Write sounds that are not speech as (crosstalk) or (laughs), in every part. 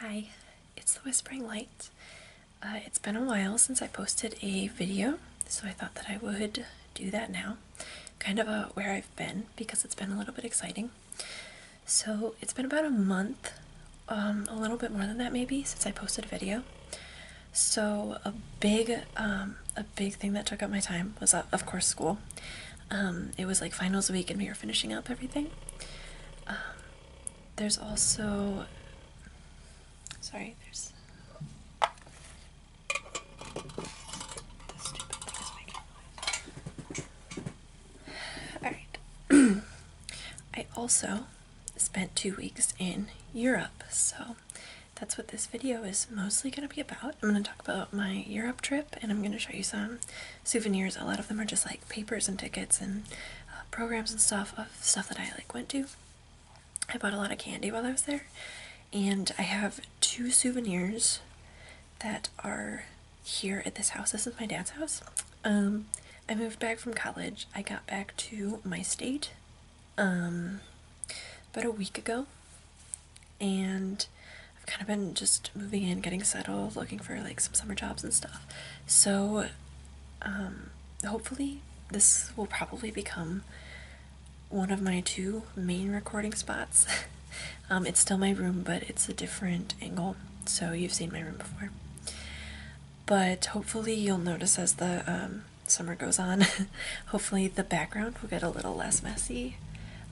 Hi, it's the Whispering Light. Uh, it's been a while since I posted a video, so I thought that I would do that now. Kind of a where I've been, because it's been a little bit exciting. So it's been about a month, um, a little bit more than that maybe, since I posted a video. So a big, um, a big thing that took up my time was, uh, of course, school. Um, it was like finals week, and we were finishing up everything. Um, there's also, sorry, there's. All right. (clears throat) I also spent two weeks in Europe, so that's what this video is mostly going to be about. I'm going to talk about my Europe trip and I'm going to show you some souvenirs. A lot of them are just like papers and tickets and uh, programs and stuff of stuff that I like went to. I bought a lot of candy while I was there and I have two souvenirs that are here at this house. This is my dad's house. Um, I moved back from college. I got back to my state um, about a week ago and I've kind of been just moving in, getting settled, looking for like some summer jobs and stuff. So um, hopefully this will probably become one of my two main recording spots. (laughs) Um, it's still my room, but it's a different angle. So you've seen my room before. But hopefully you'll notice as the um, summer goes on, (laughs) hopefully the background will get a little less messy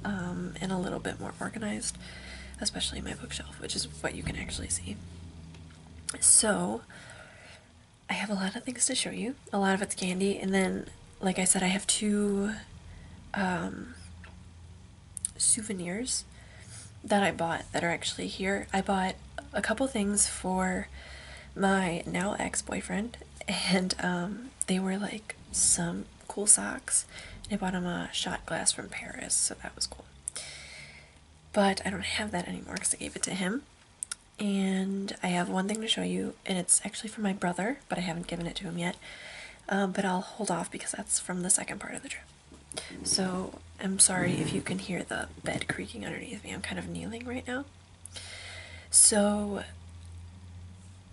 um, and a little bit more organized, especially my bookshelf, which is what you can actually see. So, I have a lot of things to show you. A lot of it's candy, and then, like I said, I have two um, souvenirs that I bought that are actually here. I bought a couple things for my now ex-boyfriend, (laughs) and um, they were like some cool socks and I bought him a shot glass from Paris so that was cool but I don't have that anymore because I gave it to him and I have one thing to show you and it's actually from my brother but I haven't given it to him yet um, but I'll hold off because that's from the second part of the trip so I'm sorry if you can hear the bed creaking underneath me I'm kind of kneeling right now so,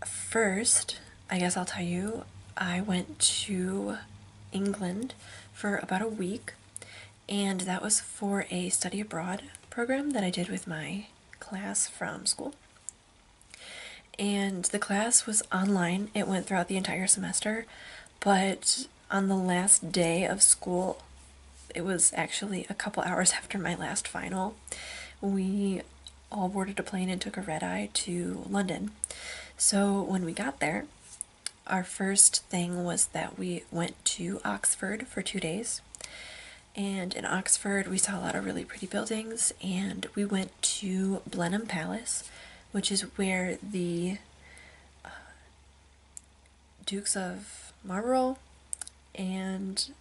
first, I guess I'll tell you, I went to England for about a week, and that was for a study abroad program that I did with my class from school. And the class was online, it went throughout the entire semester, but on the last day of school, it was actually a couple hours (laughs) after my last final we all boarded a plane and took a red eye to London. So when we got there, our first thing was that we went to Oxford for two days. And in Oxford, we saw a lot of really pretty buildings, and we went to Blenheim Palace, which is where the uh, Dukes of Marlborough and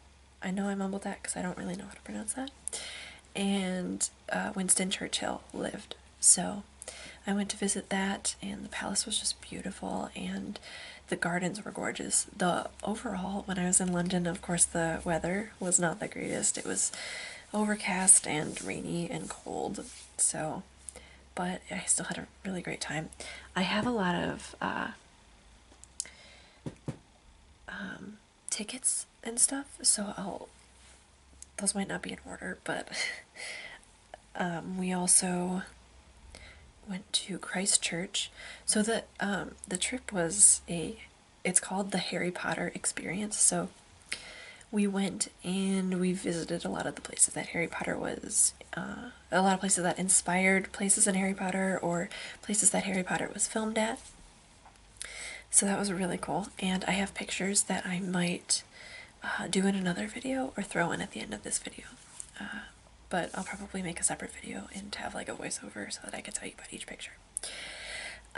I know I mumbled that because I don't really know how to pronounce that. And uh, Winston Churchill lived. So I went to visit that, and the palace was just beautiful, and the gardens were gorgeous. The overall, when I was in London, of course, the weather was not the greatest. It was overcast and rainy and cold. So, but I still had a really great time. I have a lot of uh, um, tickets and stuff, so I'll. Those might not be in order, but (laughs) um, we also went to Christchurch. So the um, the trip was a. It's called the Harry Potter Experience. So we went and we visited a lot of the places that Harry Potter was, uh, a lot of places that inspired places in Harry Potter or places that Harry Potter was filmed at. So that was really cool, and I have pictures that I might uh, do in another video or throw in at the end of this video. Uh, but I'll probably make a separate video and have like a voiceover so that I can tell you about each picture.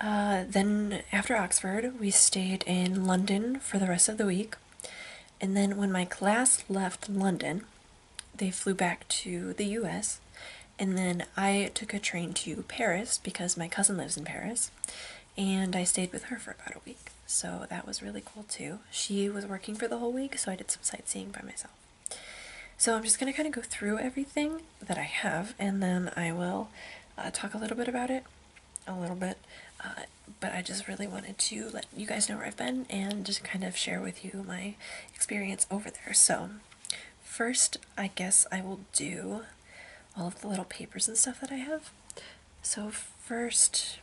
Uh, then after Oxford, we stayed in London for the rest of the week. And then when my class left London, they flew back to the US, and then I took a train to Paris because my cousin lives in Paris, and I stayed with her for about a week. So that was really cool too. She was working for the whole week, so I did some sightseeing by myself. So I'm just going to kind of go through everything that I have, and then I will uh, talk a little bit about it, a little bit. Uh, but I just really wanted to let you guys know where I've been and just kind of share with you my experience over there. So First, I guess I will do all of the little papers and stuff that I have. So, first,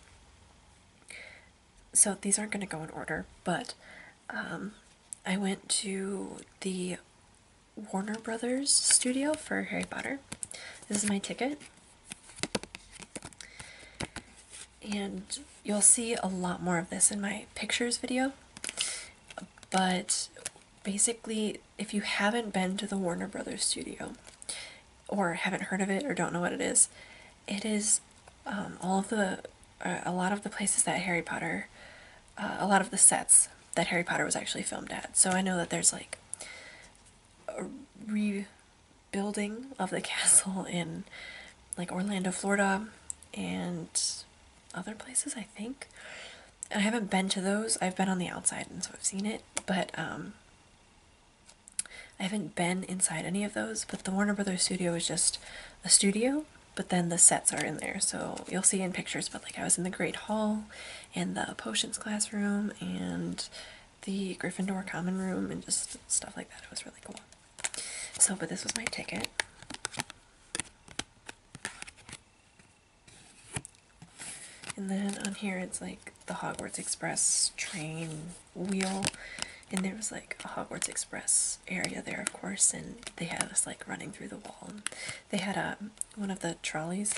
so these aren't going to go in order, but um, I went to the Warner Brothers studio for Harry Potter. This is my ticket. And you'll see a lot more of this in my pictures video but basically if you haven't been to the Warner Brothers studio or haven't heard of it or don't know what it is it is um, all of the uh, a lot of the places that Harry Potter uh, a lot of the sets that Harry Potter was actually filmed at so I know that there's like a rebuilding of the (laughs) castle in like Orlando Florida and other places, I think. I haven't been to those. I've been on the outside and so I've seen it, but um I haven't been inside any of those, but the Warner Brothers studio is just a studio, but then the sets are in there. So you'll see in pictures, but like I was in the Great Hall and the potions classroom and the Gryffindor common room and just stuff like that. It was really cool. So, but this was my ticket. And then on here it's like the Hogwarts Express train wheel. And there was like a Hogwarts Express area there, of course, and they had us like running through the wall. they had a, um, one of the trolleys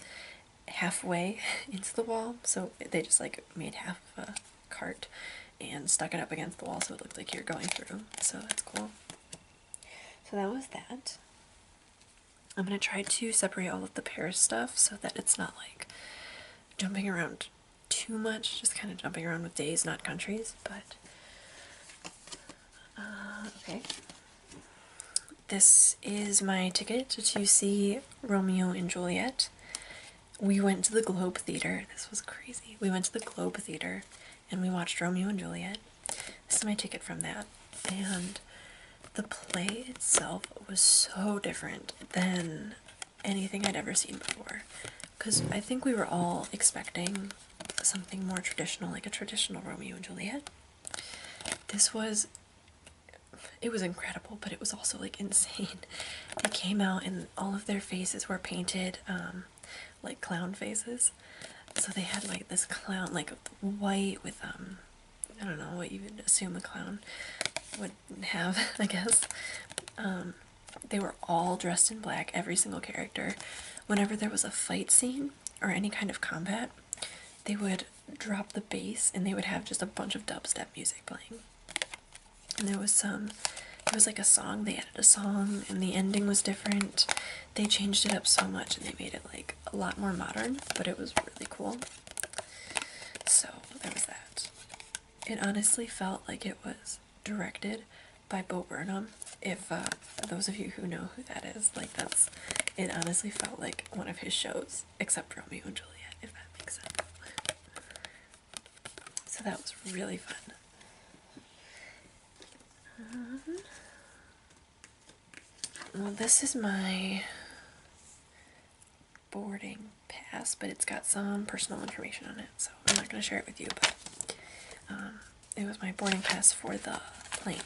halfway (laughs) into the wall, so they just like made half of a cart and stuck it up against the wall so it looked like you're going through. So that's cool. So that was that. I'm going to try to separate all of the Paris stuff so that it's not like jumping around too much, just kind of jumping around with days, not countries, but uh, okay. This is my ticket to see Romeo and Juliet. We went to the Globe Theater. This was crazy. We went to the Globe Theater and we watched Romeo and Juliet. This is my ticket from that. And the play itself was so different than anything I'd ever seen before. Because I think we were all expecting something more traditional, like a traditional Romeo and Juliet. This was, it was incredible, but it was also like insane. It came out and all of their faces were painted. Um, like clown faces. So they had like this clown, like white with um, I don't know what you would assume a clown would have, (laughs) I guess. Um, they were all dressed in black, every single character. Whenever there was a fight scene or any kind of combat, they would drop the bass and they would have just a bunch of dubstep music playing. And there was some, it was like a song, they added a song, and the ending was different they changed it up so much and they made it like a lot more modern, but it was really cool. So there was that. It honestly felt like it was directed by Bo Burnham. If uh, those of you who know who that is, like that's it honestly felt like one of his shows, except Romeo and Juliet, if that makes sense. So that was really fun. Uh-huh. Well, this is my boarding pass, but it's got some personal information on it, so I'm not going to share it with you, but um, it was my boarding pass for the plane.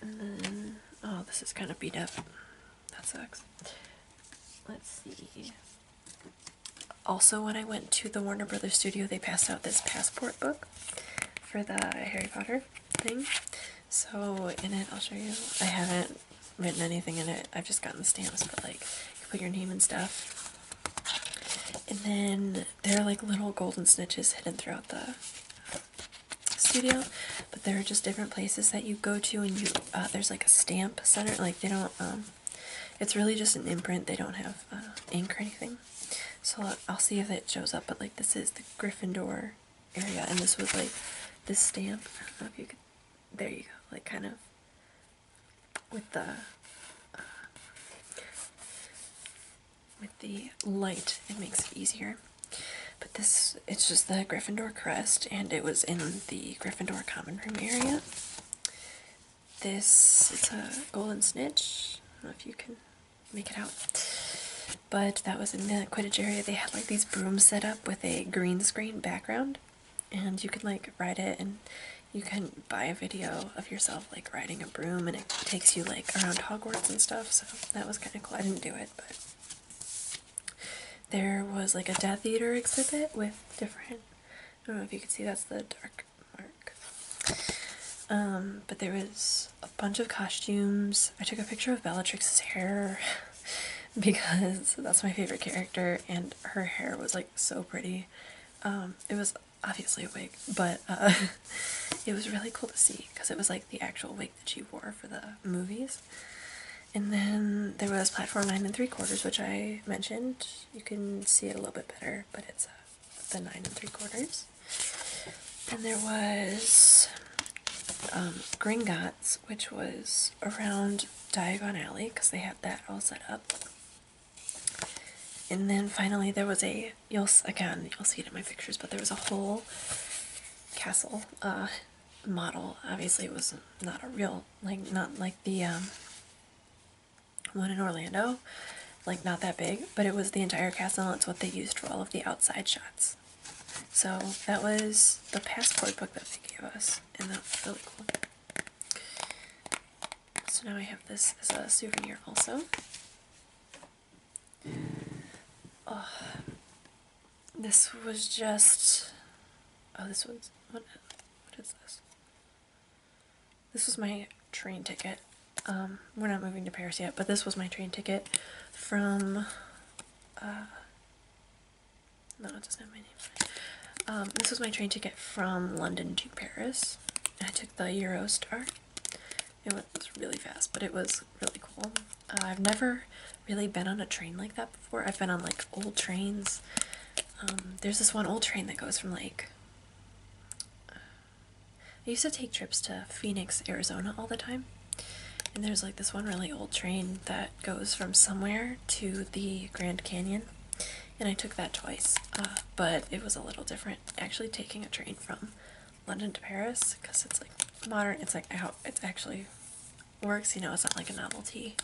And then, oh, this is kind of beat up. That sucks. Let's see. Also, when I went to the Warner Brothers studio, they passed out this passport book for the Harry Potter thing. So, in it, I'll show you. I haven't written anything in it. I've just gotten stamps, but like, you put your name and stuff. And then there are like little golden snitches hidden throughout the studio, but there are just different places that you go to, and you uh, there's like a stamp center. Like they don't, um, it's really just an imprint. They don't have uh, ink or anything so I'll see if it shows up, but like this is the Gryffindor area, and this was like this stamp. there you go, like kind of with the uh, with the light, it makes it easier. But this, it's just the Gryffindor crest, and it was in the Gryffindor common room area this, it's a golden snitch. I don't know if you can make it out. But that was in the Quidditch area. They had like these brooms set up with a green screen background. And you could like ride it and you can buy a video of yourself like riding a broom and it takes you like around Hogwarts and stuff. So that was kind of cool. I didn't do it, but there was like a Death Eater exhibit with different, I don't know if you can see, that's the dark mark, um, but there was a bunch of costumes. I took a picture of Bellatrix's hair (laughs) because that's my favorite character, and her hair was like so pretty. Um, it was obviously a wig, but uh, (laughs) it was really cool to see because it was like the actual wig that she wore for the movies. And then there was platform nine and three quarters, which I mentioned. You can see it a little bit better, but it's a uh, the nine and three quarters. And there was um, Gringotts, which was around Diagon Alley because they had that all set up. And then finally there was a, you'll again, you'll see it in my pictures, but there was a whole castle uh, model. Obviously it was not a real, like not like the um, one in Orlando, like not that big, but it was the entire castle and it's what they used for all of the outside shots. So that was the passport book that they gave us, and that's really cool. So now I have this as a souvenir also. Oh, this was just, oh this was, what, what is this? This was my train ticket. Um, we're not moving to Paris yet, but this was my train ticket from, uh, no, it doesn't my name. Um, this was my train ticket from London to Paris. I took the Eurostar. It went really fast, but it was really cool. Uh, I've never really been on a train like that before. I've been on like old trains. Um, there's this one old train that goes from like, I used to take trips to Phoenix, Arizona all the time. And there's like this one really old train that goes from somewhere to the Grand Canyon. And I took that twice, uh, but it was a little different. Actually, taking a train from London to Paris because it's like modern, it's like how it actually works, you know, it's not like a novelty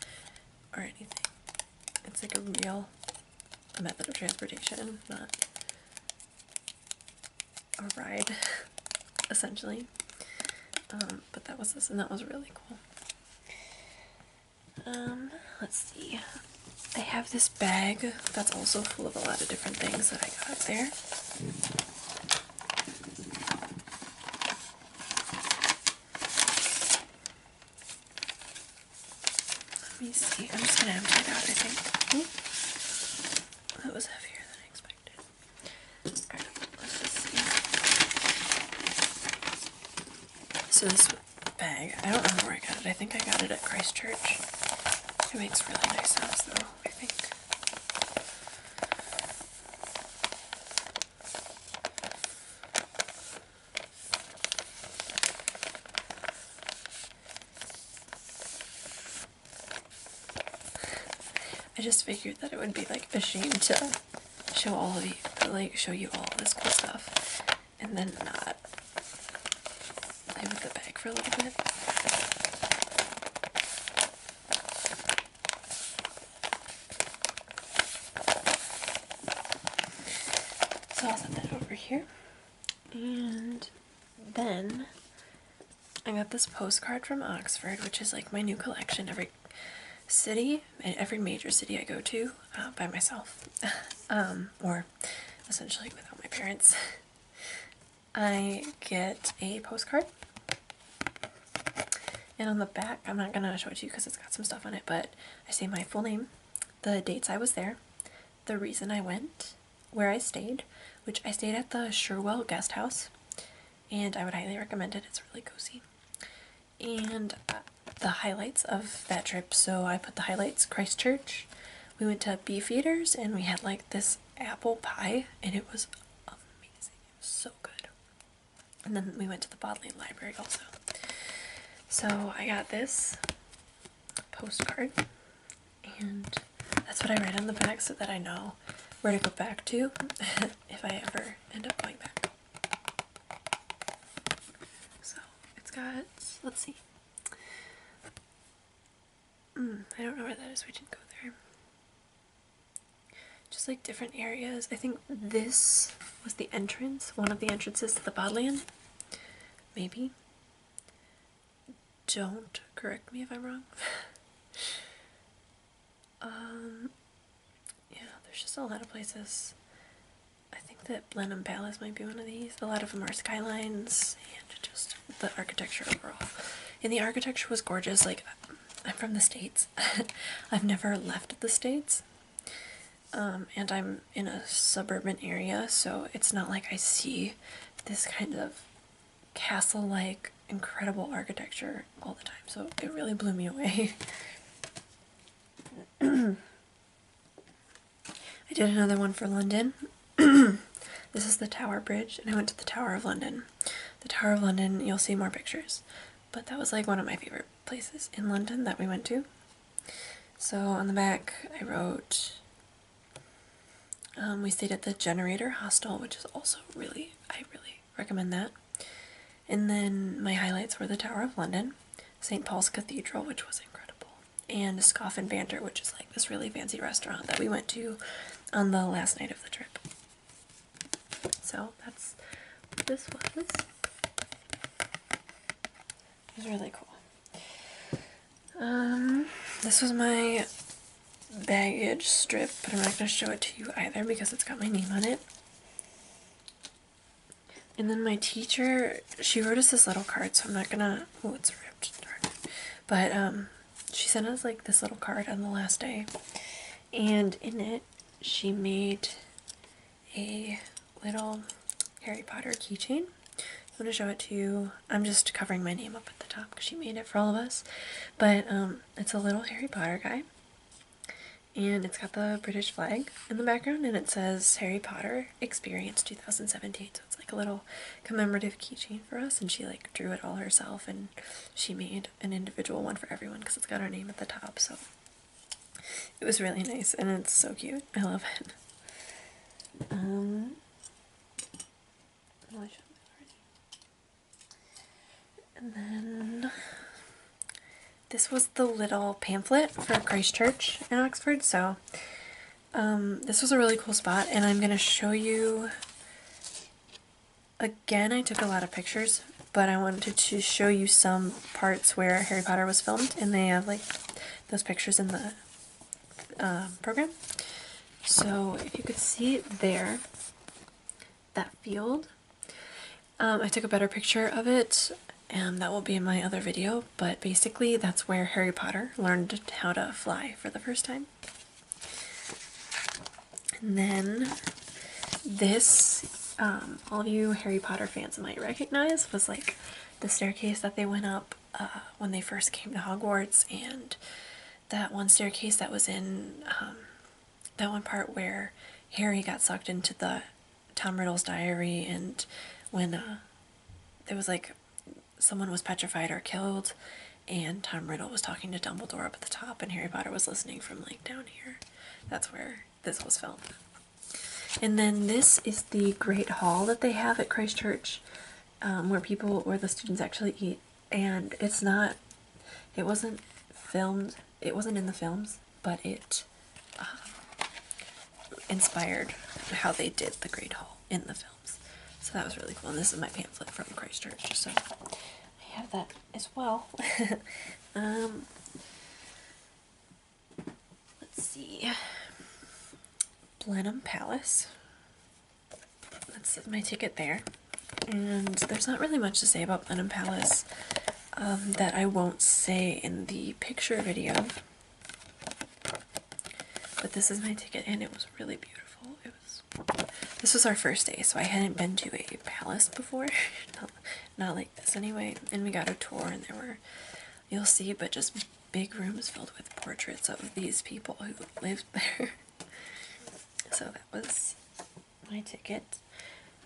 or anything. It's like a real a method of transportation, not a ride, (laughs) essentially. Um, but that was this, and that was really cool. Um, let's see. I have this bag that's also full of a lot of different things that I got there. Let me see. I'm just gonna empty it out, I think. Hmm? That was heavier than I expected. So this bag, I don't remember where I got it. I think I got it at Christchurch. It makes really nice sense, though, I think. I just figured that it would be like a shame to show all of you, like show you all this cool stuff, and then not play with the bag for a little bit. So I'll set that over here, and then I got this postcard from Oxford, which is like my new collection. Every city, every major city I go to uh, by myself, (laughs) um, or essentially without my parents, I get a postcard. And on the back, I'm not going to show it to you because it's got some stuff on it, but I say my full name, the dates I was there, the reason I went, where I stayed, which I stayed at the Sherwell Guest House, and I would highly recommend it. It's really cozy. And uh, the highlights of that trip. So I put the highlights Christchurch. We went to Beef Eaters and we had like this apple pie, and it was amazing. It was so good. And then we went to the Bodleian Library also. So I got this postcard and that's what I write on the back so that I know where to go back to (laughs) if I ever end up going back. So it's got, let's see. Hmm, I don't know where that is, we didn't go there. Just like different areas. I think this was the entrance, one of the entrances to the Bodleian, maybe don't correct me if I'm wrong. (laughs) Um, yeah, there's just a lot of places. I think that Blenheim Palace might be one of these. A lot of them are skylines and just the architecture overall. And the architecture was gorgeous. Like, I'm from the States. (laughs) I've never left the States. Um, and I'm in a suburban area, so it's not like I see this kind of castle like incredible architecture all the time. So it really blew me away. (clears throat) I did another one for London. (clears throat) this is the Tower Bridge, and I went to the Tower of London. The Tower of London, you'll see more pictures. But that was like one of my favorite places in London that we went to. So on the back, I wrote um, we stayed at the Generator Hostel, which is also really, I really recommend that. And then my highlights were the Tower of London, St. Paul's Cathedral, which was incredible, and Scoff and Banter, which is like this really fancy restaurant that we went to on the last night of the trip. So that's this was. It really cool. Um, this was my baggage strip, but I'm not going to show it to you either because it's got my name on it. And then my teacher, she wrote us this little card, so I'm not gonna, oh, it's ripped, But, um, she sent us, like, this little card on the last day. And in it, she made a little Harry Potter keychain. I'm going to show it to you. I'm just covering my name up at the top because she made it for all of us. But um, it's a little Harry Potter guy. And it's got the British flag in the background and it says Harry Potter Experience 2017. So it's like a little commemorative keychain for us. And she like drew it all herself and she made an individual one for everyone because it's got our name at the top. So it was really nice and it's so cute. I love it. Um, and then this was the little pamphlet for Christchurch in Oxford. So um, this was a really cool spot, and I'm going to show you. Again, I took a lot of pictures, but I wanted to show you some parts where Harry Potter was filmed, and they have like those pictures in the um, program. So if you could see there, that field, um, I took a better picture of it and that will be in my other video, but basically that's where Harry Potter learned how to fly for the first time. And then this, um, all of you Harry Potter fans might recognize, was like the staircase that they went up uh, when they first came to Hogwarts, and that one staircase that was in um, that one part where Harry got sucked into the Tom Riddle's diary, and when uh, there was like someone was petrified or killed, and Tom Riddle was talking to Dumbledore up at the top, and Harry Potter was listening from like down here. That's where this was filmed. And then this is the Great Hall that they have at Christchurch. Um, where people, where the students actually eat, and it's not, it wasn't filmed, it wasn't in the films, but it uh, inspired how they did the Great Hall in the films. So that was really cool. And this is my pamphlet from Christchurch, so I have that as well. (laughs) Um, let's see. Blenheim Palace that's my ticket there. And there's not really much to say about Plenum Palace um, that I won't say in the picture video. But this is my ticket and it was really beautiful. It was this was our first day, so I hadn't been to a palace before. (laughs) not like this anyway. And we got a tour and there were you'll see, but just big rooms filled with portraits of these people who lived (laughs) there. so that was my ticket.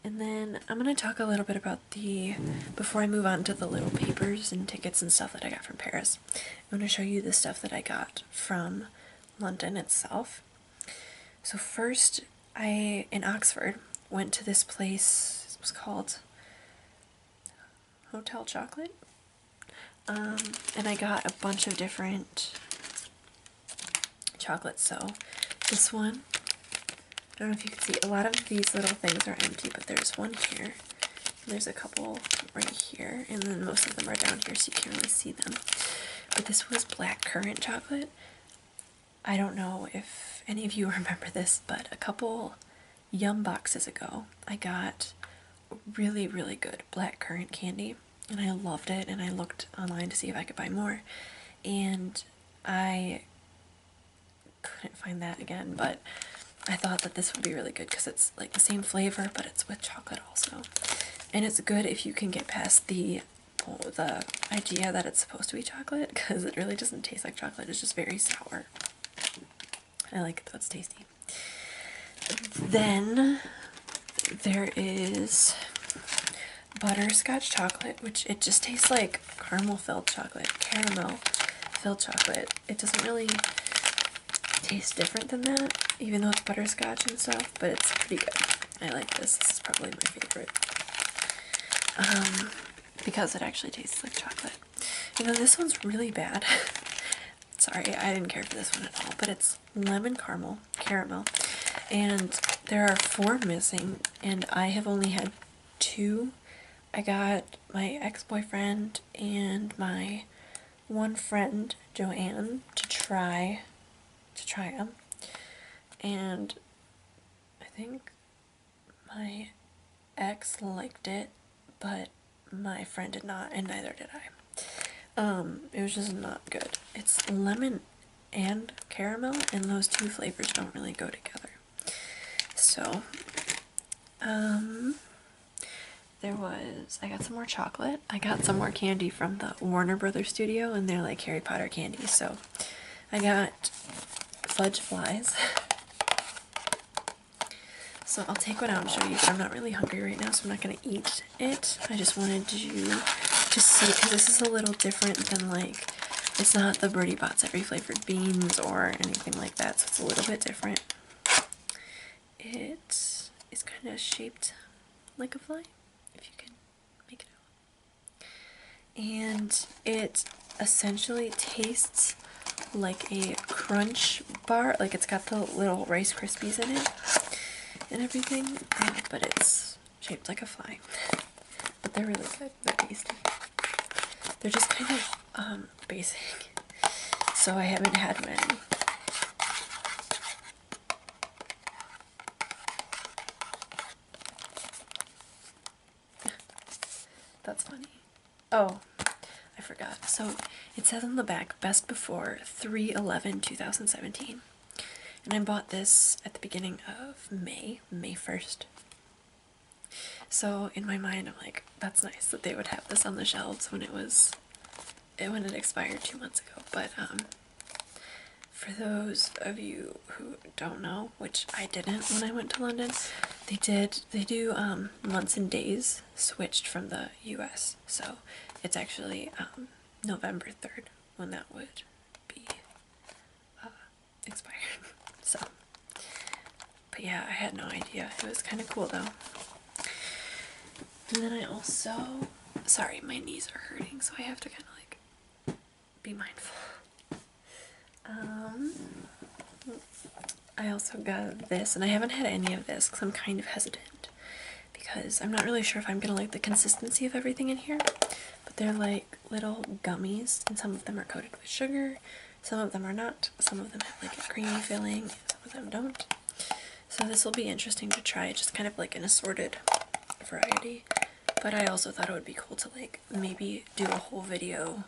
And then I'm going to talk a little bit about the, before I move on to the little papers and tickets and stuff that I got from Paris, I'm going to show you the stuff that I got from London itself. So first, I, in Oxford, went to this place, it was called Hotel Chocolate? Um, and I got a bunch of different chocolates. So this one, I don't know if you can see, a lot of these little things are empty, but there's one here. There's a couple right here, and then most of them are down here, so you can't really see them. But this was black currant chocolate. I don't know if any of you (laughs) remember this, but a couple yum boxes ago, I got really really good black currant candy and I loved it and I looked online to see if I could buy more and I couldn't find that again but I thought that this would be really good because it's like the same flavor but it's with chocolate also and it's good if you can get past the the idea that it's supposed to be chocolate because it really doesn't taste like chocolate it's just very sour I like it That's tasty. Then there is butterscotch chocolate, which it just tastes like caramel filled chocolate, caramel filled chocolate. It doesn't really taste different than that, even though it's butterscotch and stuff, but it's pretty good. I like this. This is probably my favorite. Um, because it actually tastes like chocolate. You know, this one's really bad. (laughs) Sorry, I didn't care for this one at all, but it's lemon caramel, caramel. And there are four missing, and I have only had two. I got my ex-boyfriend and my one friend, Joanne, to try to try them. And I think my ex liked it, but my friend did not, and neither did I. Um, it was just not good. It's lemon and caramel, and those two flavors don't really go together. So, um, there was, I got some more chocolate. I got some more candy from the Warner Brothers studio, and they're like Harry Potter candy. So, I got fudge flies. (laughs) so, I'll take one out and show you. I'm not really hungry right now, so I'm not going to eat it. I just wanted to to see because this is a little different than like it's not the Birdie Bots every flavored beans or anything like that, so it's a little bit different. It is kind of shaped like a fly, if you can make it out. And it essentially tastes like a crunch bar. Like it's got the little Rice Krispies in it and everything, but it's shaped like a fly. But they're really good. They're tasty. They're just kind of um, basic, so I haven't had one. (laughs) That's funny. Oh, I forgot. So it says on the back, best before 3 2017. And I bought this at the beginning of May, May 1st. So in my mind, I'm like, that's nice that they would have this on the shelves when it was, it when it expired two months ago. But um, for those of you who don't know, which I didn't when I went to London, they did they do um, months and days switched from the US. So it's actually um, November 3rd when that would be uh, expired. (laughs) So, but yeah, I had no idea. It was kind of cool though. And then I also, sorry, my knees are hurting, so I have to kind of like be mindful. Um, I also got this, and I haven't had any of this because I'm kind of hesitant because I'm not really sure if I'm gonna like the consistency of everything in here. But they're like little gummies, and some of them are coated with sugar, some of them are not, some of them have like a creamy filling, some of them don't. So this will be interesting to try, just kind of like an assorted variety. But I also thought it would be cool to like maybe do a whole video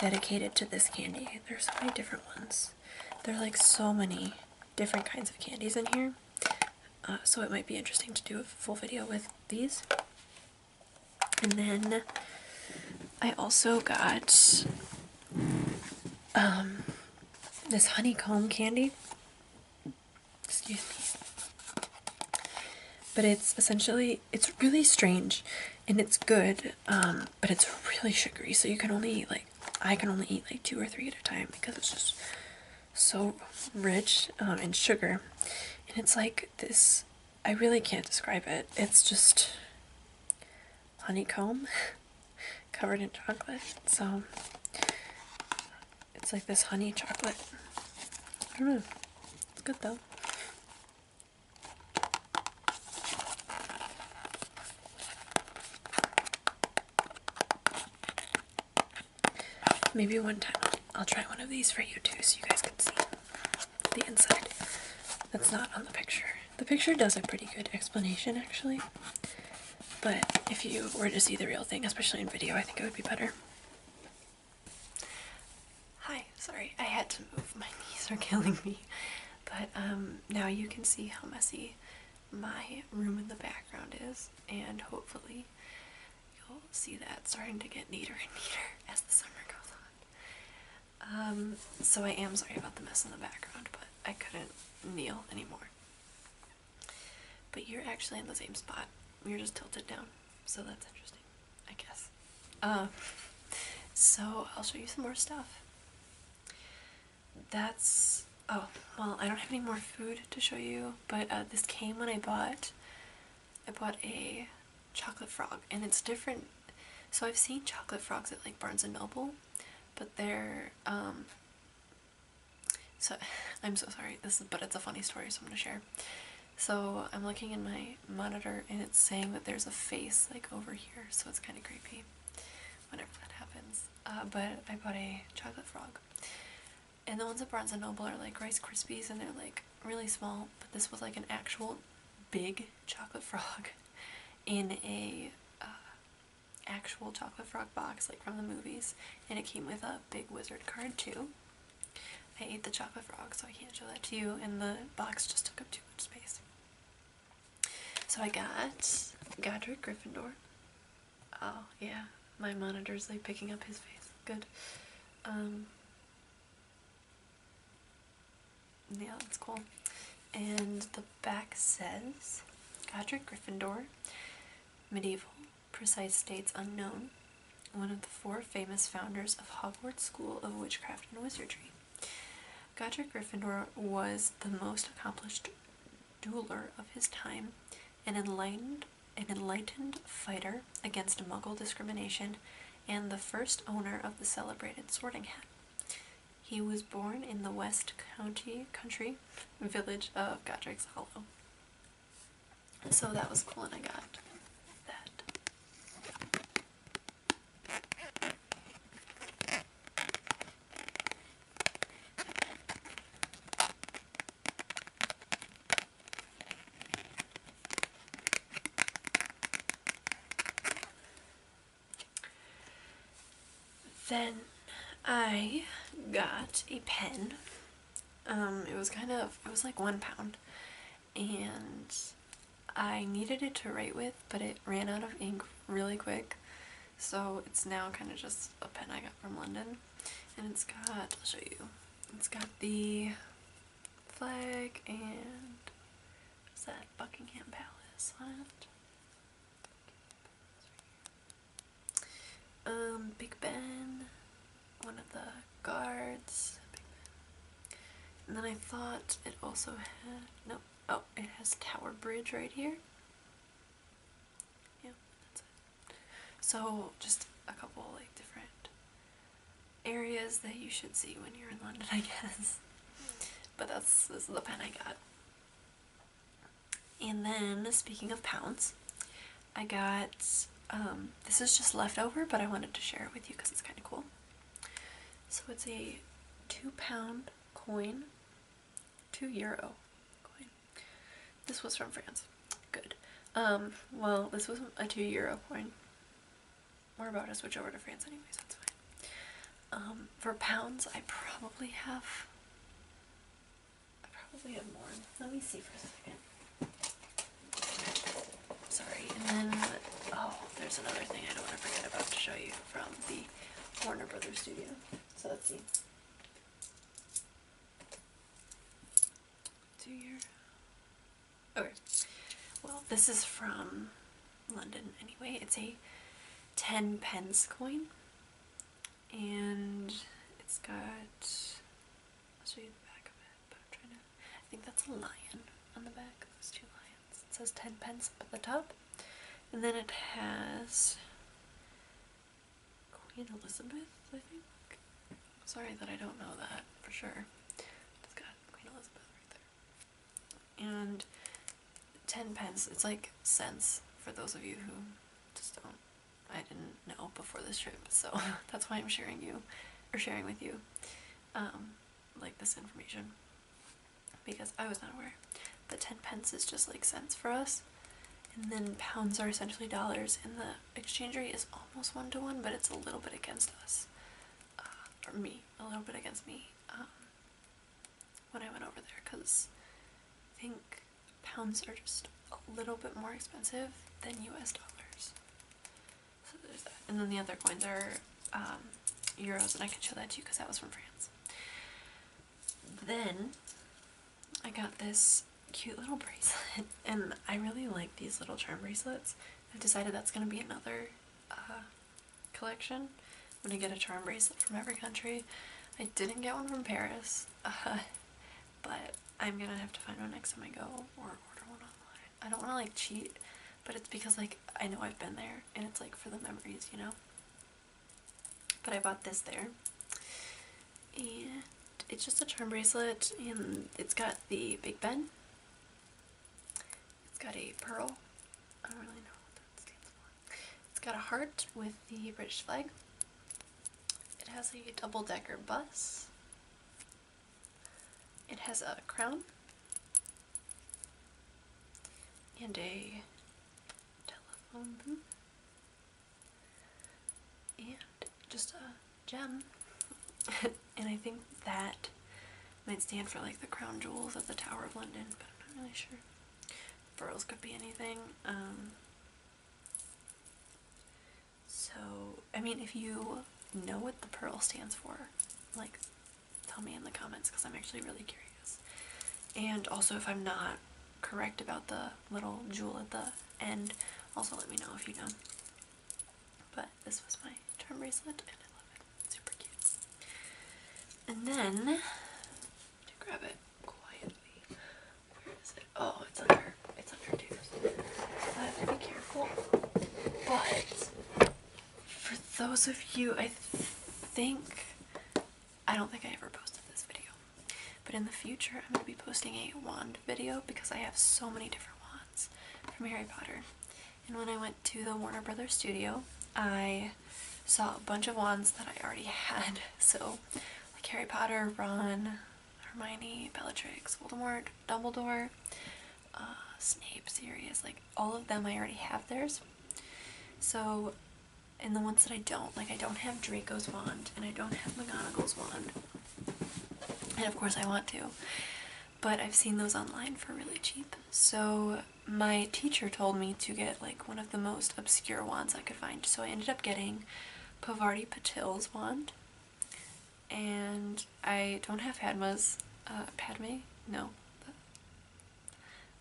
dedicated to this candy. There's so many different ones. There are like so many different kinds of candies in here. Uh, so it might be interesting to do a full video with these. And then I also got um, this honeycomb candy. But it's essentially, it's really strange and it's good, um, but it's really sugary. So you can only eat like I can only eat like two or three at a time because it's just so rich um, in sugar. And it's like this, I really can't describe it. It's just honeycomb (laughs) covered in chocolate. So um, it's like this honey chocolate. I don't know. It's good though. Maybe one time I'll try one of these for you too so you guys can see the inside that's not on the picture. The picture does a pretty good explanation actually, but if you were to see the real thing, especially in video, I think it would be better. Hi, sorry, I had to move. My (laughs) knees are killing me. But um, now you can see how messy my room in the background is, and hopefully you'll see that starting to get neater and neater as the summer goes on. Um, so I am sorry about the mess in the background, but I couldn't kneel anymore. But you're actually in the same spot. You're just tilted down, so that's interesting, I guess. Uh, so I'll show you some more stuff that's oh well I don't have any more food to show you but uh, this came when I bought I bought a chocolate frog and it's different so I've seen chocolate frogs at like Barnes and Noble but they're um so (laughs) I'm so sorry this is but it's a funny story so I'm gonna share so I'm looking in my monitor and it's saying that there's a face like over here so it's kind of creepy whenever that happens. Uh, but I bought a chocolate frog. And the ones at Barnes & Noble are like Rice Krispies and they're like really small. But this was like an actual big chocolate frog (laughs) in a uh, actual chocolate frog box like from the movies. And it came with a big wizard card too. I ate the chocolate frog so I can't show that to you and the box just took up too much space. So I got Godric Gryffindor, Oh, yeah. My monitor's like picking up his face. Good. Um, yeah, that's cool. And the back says Godric Gryffindor, medieval, precise dates unknown, one of the four famous founders of Hogwarts School of Witchcraft and Wizardry. Godric Gryffindor was the most accomplished dueler of his time, an enlightened, an enlightened fighter against Muggle discrimination, and the first owner of the celebrated sorting hat. He was born in the West County country village of Godric's Hollow. So that was cool, and I got that. Then I got a pen. Um, it was kind of, it was like one pound. And I needed it to write with, but it ran out of ink really quick. So it's now kind of just a pen I got from London. And it's got, I'll show you, it's got the flag and, what's that, Buckingham Palace on it. Um, Big Ben, one of the guards, and then I thought it also had, no, oh, it has Tower Bridge right here yeah, So just a couple like different areas that you should see when you're in London, (laughs) I guess. But that's this is the pen I got. And then speaking of pounds, I got um, this is just leftover, but I wanted to share it with you because it's kind of cool. So it's a two pound coin, two euro coin. This was from France. Good. Um, well, this was a 2 euro coin. We're about to switch over to France anyways, that's fine. Um, for pounds, I probably have... I probably have more. Let me see for a second. Sorry, and then... Oh, there's another thing I don't want to forget about to show you from the Warner Brothers studio. So let's see to your okay well this is from London anyway it's a 10 pence coin and it's got i show you the back of it but I'm trying to I think that's a lion on the back those two lions it says 10 pence up at the top and then it has Queen Elizabeth, I think. I'm sorry that I don't know that for sure. It's got Queen Elizabeth right there. And 10 pence, it's like cents for those of you who just don't. I didn't know before this trip, so (laughs) that's why I'm sharing you, or sharing with you, um, like this information. Because I was not aware the 10 pence is just like cents for us and then pounds are essentially dollars and the exchange rate is almost one to one but it's a little bit against us uh, or me a little bit against me um, when I went over there because I think pounds are just a little bit more expensive than US dollars and then the other coins are um, euros and I can show that to you because that was from France then I got this cute little bracelet (laughs) and I really like these little charm bracelets. I've decided that's going to be another uh, collection. I'm going to get a charm bracelet from every country. I didn't get one from Paris, (laughs) but I'm going to have to find one next time I go or order one online. I don't want to like cheat, but it's because like I know I've been there and it's like for the memories, you know? But I bought this there. And it's just a charm bracelet and it's got the Big Ben. It's got a pearl. I don't really know what that stands for. It's got a heart with the British flag. It has a double-decker bus. It has a crown. And a telephone booth and just a gem. (laughs) and I think that might stand for like the crown jewels of the Tower of London, but I'm not really sure. Pearls could be anything. Um. so, I mean, if you know what the pearl stands for, like, tell me in the comments because I'm actually really curious. And also, if I'm not correct about the little jewel at the and also let me know if you know. But this was my charm bracelet and I love it. super cute. And then grab it quietly. Where is it? Oh, it's under it's under dues. I have to be careful. But for those of you I think I don't think I ever posted this video, but in the future I'm going to be posting a wand video because I have so many different wands from Harry Potter. And when I went to the Warner Brothers studio, I saw a bunch of wands that I already (laughs) had. So, like Harry Potter, Ron, Hermione, Bellatrix, Voldemort, Dumbledore, uh, Snape, series like all of them I already have theirs. So and the ones that I don't. Like I don't have Draco's wand and I don't have McGonagall's wand. And of course I want to. But I've seen those online for really cheap. So my teacher told me to get like one of the most obscure wands I could find. So I ended up getting Pavarti Patil's wand. And I don't have Padma's, uh, Padme? No.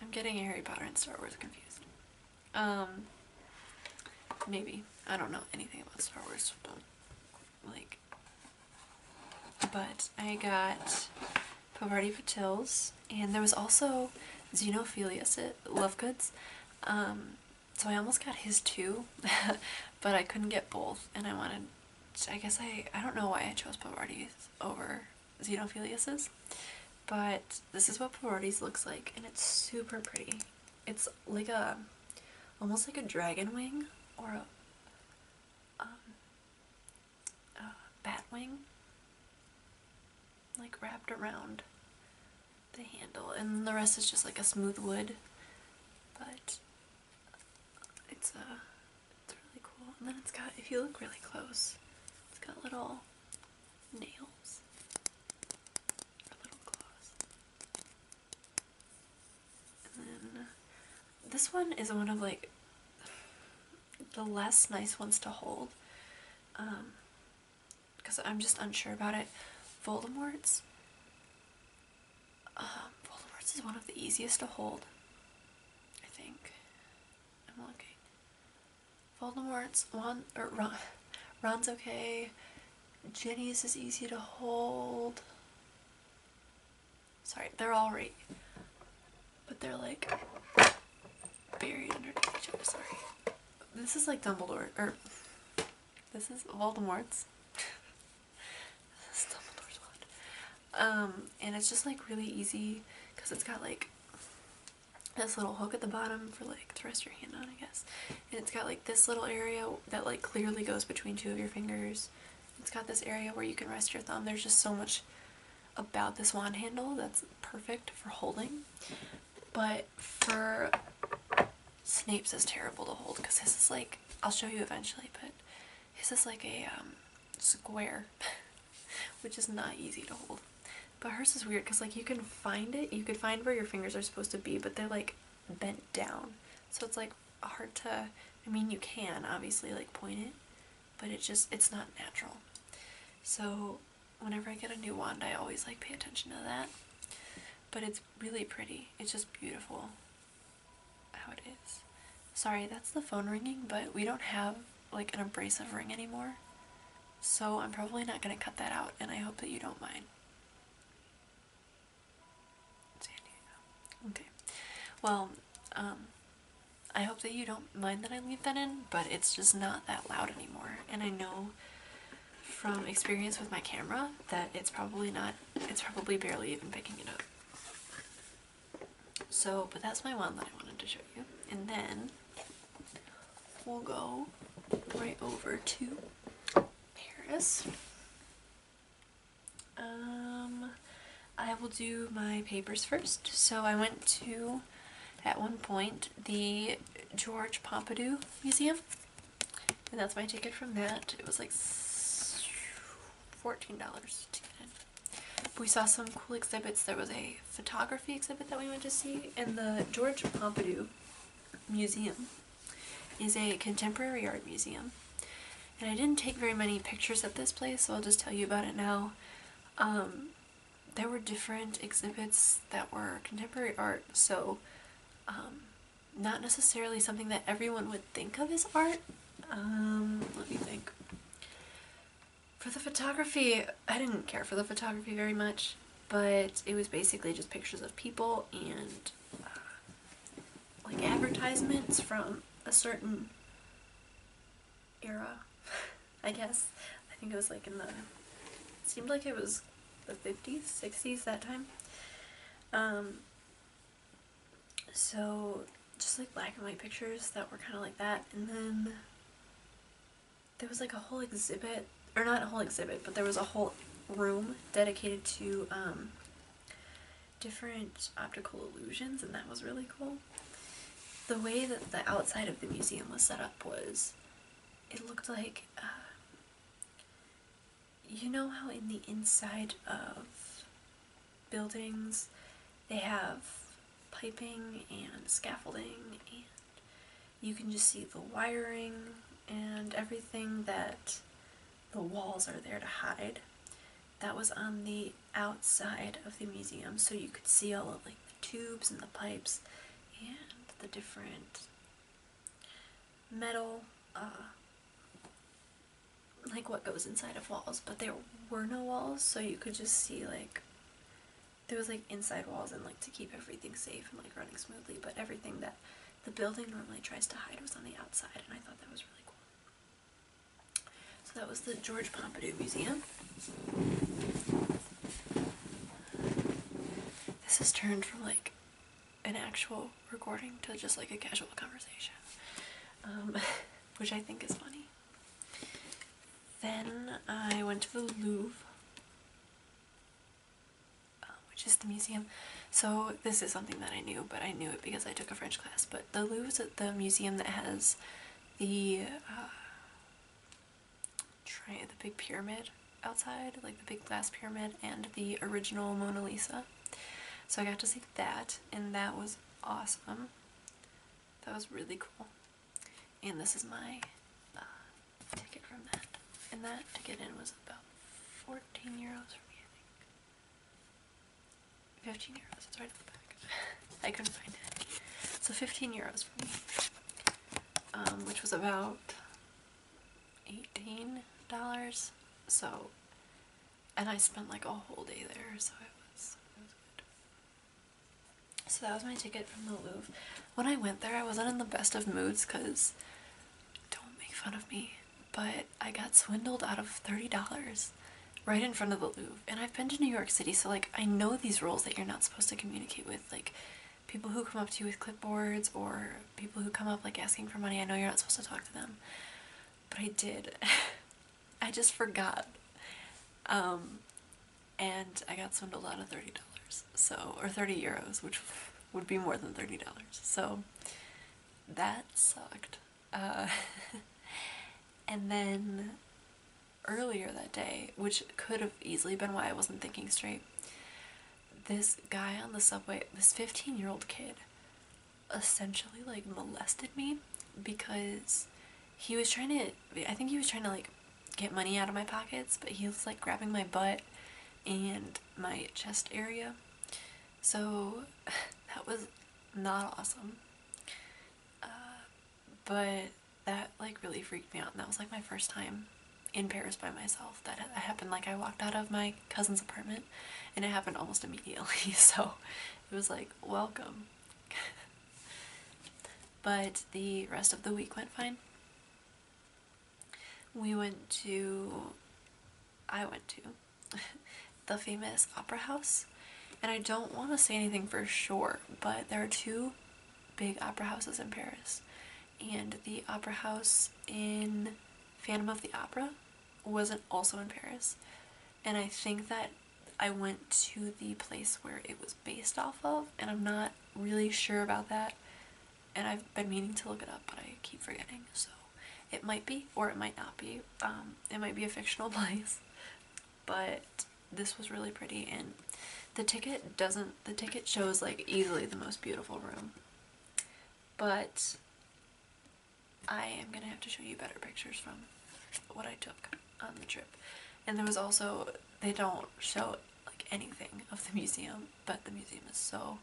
I'm getting Harry Potter and Star Wars confused. Um, maybe. I don't know anything about Star Wars. like, but I got Pavarti Patils, and there was also Xenophilius at uh, Lovegoods. Um, so I almost got his too, (laughs) but I couldn't get both, and I wanted, I guess I, I don't know why I chose Pavarti's over Xenophilius's, but this is what Pavarti's looks like, and it's super pretty it's like a almost like a dragon wing or um, a, bat wing like wrapped around the handle and the rest is just like a smooth wood but it's a it's really cool and then it's got if you look really close it's got little nails uh, this one is one of like the less nice ones to hold because um, I'm just unsure about it. Voldemort's um, Voldemort's is one of the easiest to hold. I think. I'm looking. Voldemort's one or (laughs) Ron's okay. Jenny's is easy to hold. Sorry, they're all right. But they're like buried underneath each other, sorry. This is like Dumbledore, or this is Voldemort's. (laughs) this is Dumbledore's one. Um, and it's just like really easy because it's got like this little hook at the bottom for like to rest your hand on, I guess and it's got like this little area that like clearly goes between two of your fingers it's got this area where you can rest your thumb there's just so much about this wand handle that's perfect for holding but for Snape's is terrible to hold because his is like I'll show you eventually but his is like a um, square (laughs) which is not easy to hold but hers is weird because like you can find it you could find where your fingers are supposed to be but they're like bent down. So it's like hard to, I mean you can obviously like point it, but it just, it's not natural. So whenever I get a new wand I always like pay attention to that. But it's really pretty. It's just beautiful how it is. Sorry, that's the phone ringing, but we don't have like an abrasive ring anymore. So I'm probably not going to cut that out and I hope that you don't mind. Okay. Well, um, I hope that you don't mind that I leave that in, but it's just not that loud anymore. And I know from experience with my camera that it's probably not, it's probably barely even picking it up. So, but that's my one that I wanted to show you. And then we'll go right over to Paris. Um, I will do my papers first. So I went to, at one point, the George Pompadour Museum. And that's my ticket from that. It was like $14 to we saw some cool exhibits. There was a photography exhibit that we went to see in the George Pompadour Museum is a contemporary art museum. And I didn't take very many pictures at this place, so I'll just tell you about it now. Um, there were different exhibits that were contemporary art, so um, not necessarily something that everyone would think of as art. Um, let me think. For the photography, I didn't care for the photography very much, but it was basically just pictures of people and uh, like advertisements from a certain era, (laughs) I guess. I think it was like in the, seemed like it was the 50s, 60s, that time. Um, so just like black and white pictures that were kind of like that. And then there was like a whole exhibit or not a whole exhibit, but there was a whole room dedicated to um, different optical illusions, and that was really cool. The way that the outside of the museum was set up was, it looked like, uh, you know how in the inside of buildings they have piping and scaffolding and you can just see the wiring and everything that the walls are there to hide. That was on the outside of the museum so you could see all of like the tubes and the pipes and the different metal uh, like what goes inside of walls but there were no walls so you could just see like there was like inside walls and like to keep everything safe and like running smoothly but everything that the building normally tries to hide what's on the outside, and I thought that was really cool. So that was the George Pompidou Museum. This has turned from like an actual recording to just like a casual conversation, um, (laughs) which I think is funny. Then I went to the Louvre um, which is the museum. So this is something that I knew, but I knew it because I took a French class. But the Louvre is the museum that has the uh, try the big pyramid outside, like the big glass pyramid, and the original Mona Lisa. So I got to see that, and that was awesome. That was really cool. And this is my uh, ticket from that. And that to get in was about 40 Fifteen euros for me, I think. 15 euros, it's right in the back. (laughs) I couldn't find it. So 15 euros for me, um, which was about $18. So, and I spent like a whole day there, so it was, So that was my ticket from the Louvre. When I went there, I wasn't in the best of moods because don't make fun of me, but I got swindled out of $30 right in front of the Louvre. And I've been to New York City, so like I know these rules that you're not supposed to communicate with. Like people who come up to you with clipboards or people who come up like asking for money, I know you're not supposed to talk to them. But I did. (laughs) I just forgot. Um, and I got swindled out of $30. So, or 30 euros, which would be more than $30. So that sucked. Uh, (laughs) and then earlier that day, which could have easily been why I wasn't thinking straight, this guy on the subway, this 15 year old kid, essentially like molested me because he was trying to, I think he was trying to like get money out of my pockets, but he was like grabbing my butt and my chest area so (laughs) that was not awesome. Uh, but that like really freaked me out and that was like my first time in Paris by myself. That happened like I walked out of my cousin's apartment and it happened almost immediately. (laughs) So it was like, welcome. (laughs) but the rest of the week went fine we went to, I went to, (laughs) the famous opera house. And I don't want to say anything for sure, but there are two big opera houses in Paris. And the opera house in Phantom of the Opera wasn't also in Paris. And I think that I went to the place where it was based off of, and I'm not really sure about that and I've been meaning to look it up but I keep forgetting so it might be or it might not be um, it might be a fictional (laughs) place but this was really pretty and the ticket doesn't the ticket shows like easily the most beautiful room but I am gonna have to show you better pictures from what I took on the trip and there was also they don't show like anything of the museum but the museum is so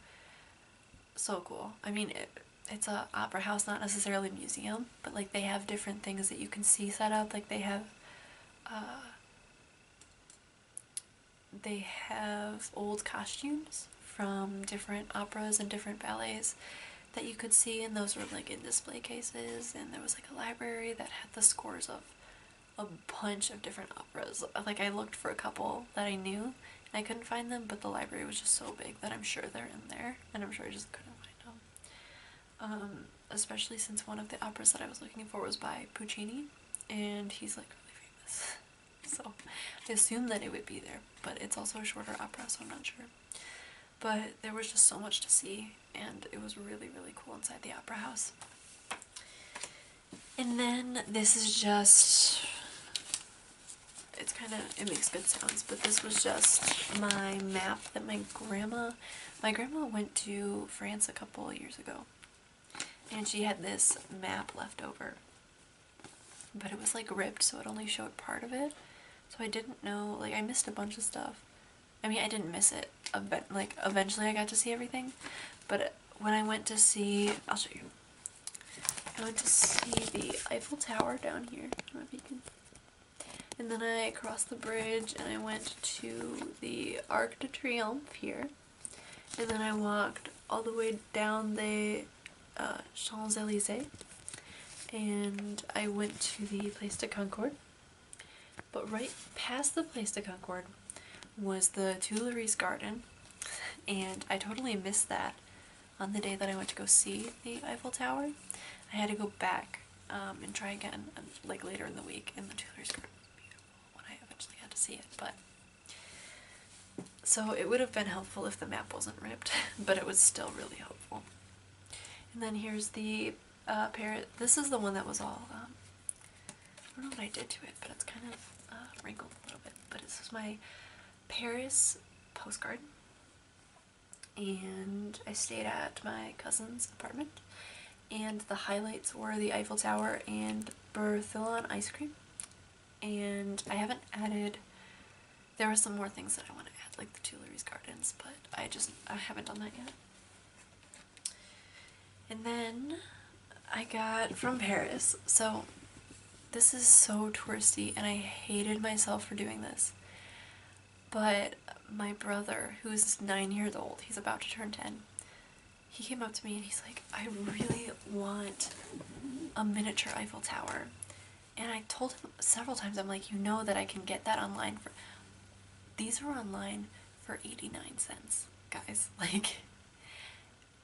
so cool. I mean, it's a opera house, not necessarily a museum, but like they have different things that you can see set up. Like they have, uh, they have old costumes from different operas and different ballets that you could see, and those were like in display cases. And there was like a library that had the scores of a bunch of different operas. Like I looked for a couple that I knew and I couldn't find them, but the library was just so big that I'm sure they're in there and I'm sure I just couldn't find them. Um, especially since one of the operas that I was looking for was by Puccini and he's like really famous. (laughs) so I assumed that it would be there, but it's also a shorter opera so I'm not sure. But there was just so much to see and it was really really cool inside the opera house. And then this is just, it's kind of, it makes good sounds, but this was just my map that my grandma, my grandma went to France a couple years ago. And she had this map left over. But it was like ripped, so it only showed part of it. So I didn't know, like I missed a bunch of stuff. I mean, I didn't miss it. Like, eventually I got to see everything. But when I went to see, I'll show you. I went to see the Eiffel Tower down here. And then I crossed the bridge and I went to the Arc de Triomphe here. And then I walked all the way down the uh, Champs-Elysees. And I went to the Place de Concorde. But right past the Place de Concorde was the Tuileries Garden. (laughs) And I totally missed that on the day that I went to go see the Eiffel Tower. I had to go back um, and try again like later in the week and the Tuileries Garden was I eventually had to see it but so it would have been helpful if the map wasn't ripped (laughs) but it was still really helpful. And then here's the uh, pair. This is the one that was all um, I don't know what I did to it but it's kind of uh, wrinkled a little bit but this is my Paris postcard and I stayed at my cousin's apartment and the highlights were the Eiffel Tower and Berthillon ice cream and I haven't added there are some more things that I want to add like the Tuileries Gardens but I just I haven't done that yet and then I got from Paris so this is so touristy and I hated myself for doing this. But my brother, who's nine years old, he's about to turn 10, he came up to me and he's like, I really want a miniature Eiffel Tower. And I told him several times, I'm like, you know that I can get that online for. These are online for 89 cents, guys. (laughs) Like,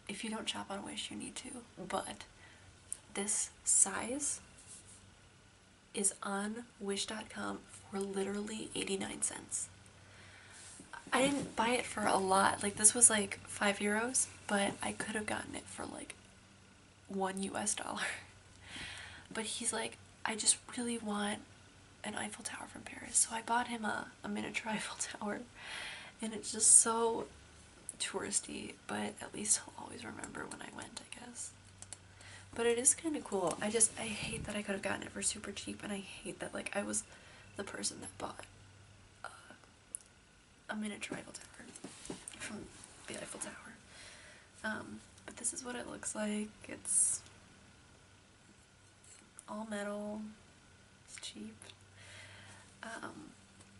if you don't shop on Wish, you need to. But this size is on Wish.com for literally 89 cents. I didn't buy it for a lot. Like this was like 5 euros, but I could have gotten it for like 1 US dollar. (laughs) But he's like, I just really want an Eiffel Tower from Paris. So I bought him a, miniature (laughs) Eiffel Tower and it's just so touristy but at least I'll always remember when I went I guess but it is kind of cool I just I hate that I could have gotten it for super cheap and I hate that like I was the person that bought uh, a miniature Eiffel Tower from the Eiffel Tower um, but this is what it looks like it's all metal it's cheap um,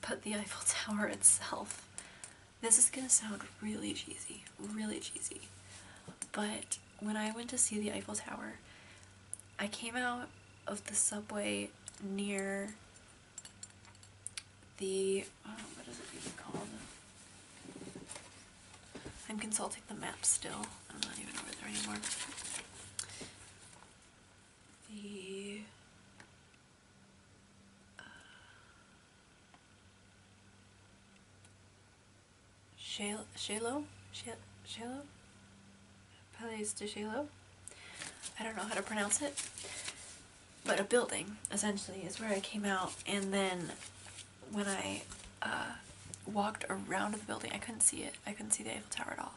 but the Eiffel Tower itself. This is gonna sound really cheesy, really cheesy, but when I went to see the Eiffel Tower, I came out of the subway near the, uh, what is it called? I'm consulting the map still. I'm not even over there anymore. The uh, Shalo, Shalo, Palace Palais de Shalo. I don't know how to pronounce it, but a building essentially is where I came out, and then when I uh, walked around the building, I couldn't see it. I couldn't see the Eiffel Tower at all.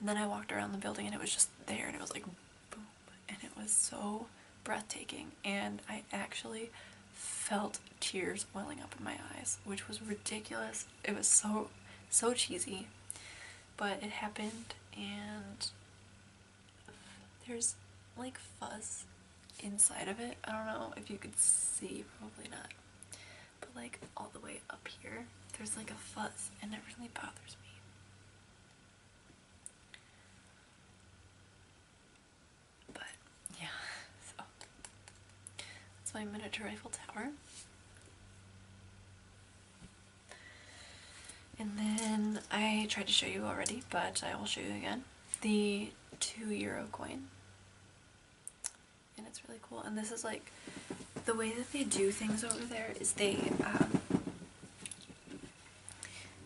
And then I walked around the building and it was just there and it was like boom and it was so breathtaking and I actually felt tears welling up in my eyes which was ridiculous it was so so cheesy but it happened and there's like fuzz inside of it I don't know if you could see probably not but like all the way up here there's like a fuzz and it really bothers me but yeah, so that's my miniature rifle Tower. And then I tried to show you already, but I will show you again the two euro coin. And it's really cool. And this is like the way that they do things over there is they um,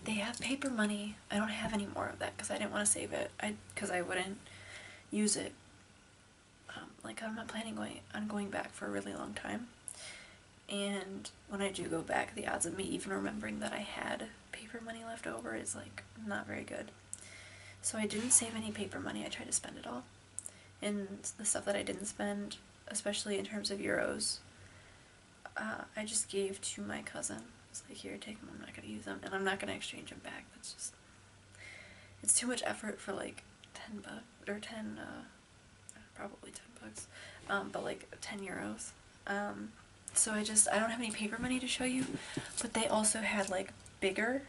they have paper money. I don't have any more of that because I didn't want to save it. I because I wouldn't use it. Um, like I'm not planning on going back for a really long time. And when I do go back, the odds of me even remembering that I had paper money left over is like not very good. So I didn't save any paper money. I tried to spend it all. And the stuff that I didn't spend especially in terms of euros, uh, I just gave to my cousin. It's like, here, take them, I'm not going to use them, and I'm not going to exchange them back. It's just, it's too much effort for like 10 bucks, or 10, uh, probably 10 bucks, um, but like 10 euros. Um, so I just, I don't have any paper money to show you, but they also had like bigger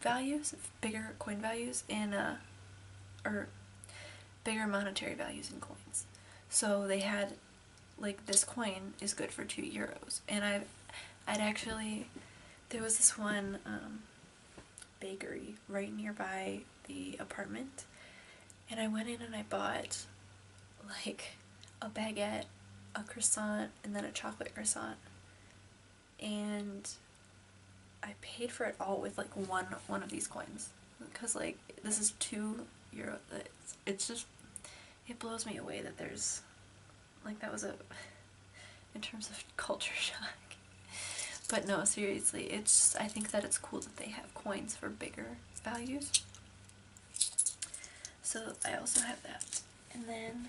values, bigger coin values in, uh, or bigger monetary values in coins. So they had, like, this coin is good for two euros. And i I'd actually, there was this one um, bakery right nearby the apartment. And I went in and I bought, like, a baguette, a croissant, and then a chocolate croissant. And I paid for it all with, like, one, one of these coins because like this is two euro it's, just it blows me away that there's like that was a (laughs) in terms of (laughs) culture shock but no seriously it's I think that it's cool that they have coins for bigger values so I also have that and then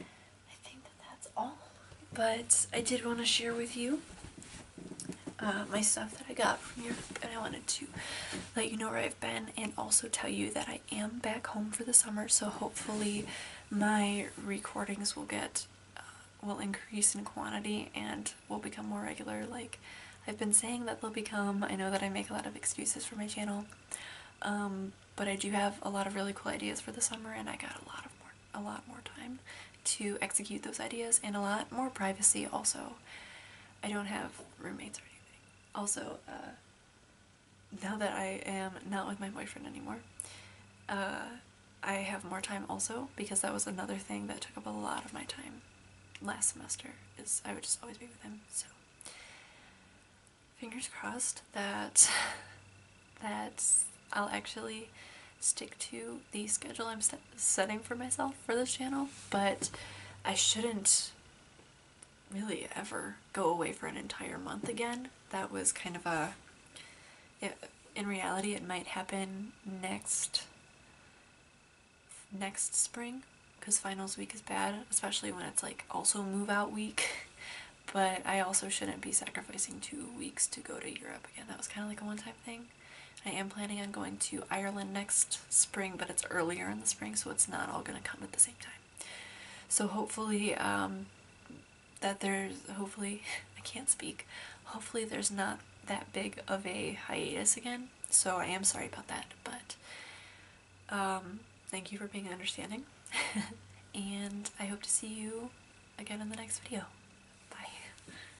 I think that that's all but I did want to share with you uh, my stuff that I got from you, and I wanted to let you know where I've been and also tell you that I am back home for the summer so hopefully my recordings will get uh, will increase in quantity and will become more regular like I've been saying that they'll become I know that I make a lot of excuses for my channel um, but I do have a lot of really cool ideas for the summer and I got a lot of more a lot more time to execute those ideas and a lot more privacy also. I don't have roommates or anything. Also, uh, now that I am not with my boyfriend anymore, uh, I have more time also because that was another thing that took up a lot of my time last semester is I would just always be with him. So fingers crossed that (laughs) that I'll actually stick to the schedule I'm setting for myself for this channel, but I shouldn't really ever go away for an entire month again. That was kind of a... in reality, it might happen next next spring because finals week is bad, especially when it's like also move out week. (laughs) But I also shouldn't be sacrificing two weeks to go to Europe again. That was kind of like a one-time thing. I am planning on going to Ireland next spring, but it's earlier in the spring, so it's not all going to come at the same time. So hopefully, um, that there's, hopefully, (laughs) I can't speak, hopefully there's not that big of a hiatus again. So I am sorry about that, but um, thank you for being understanding. (laughs) and I hope to see you again in the next video. Bye.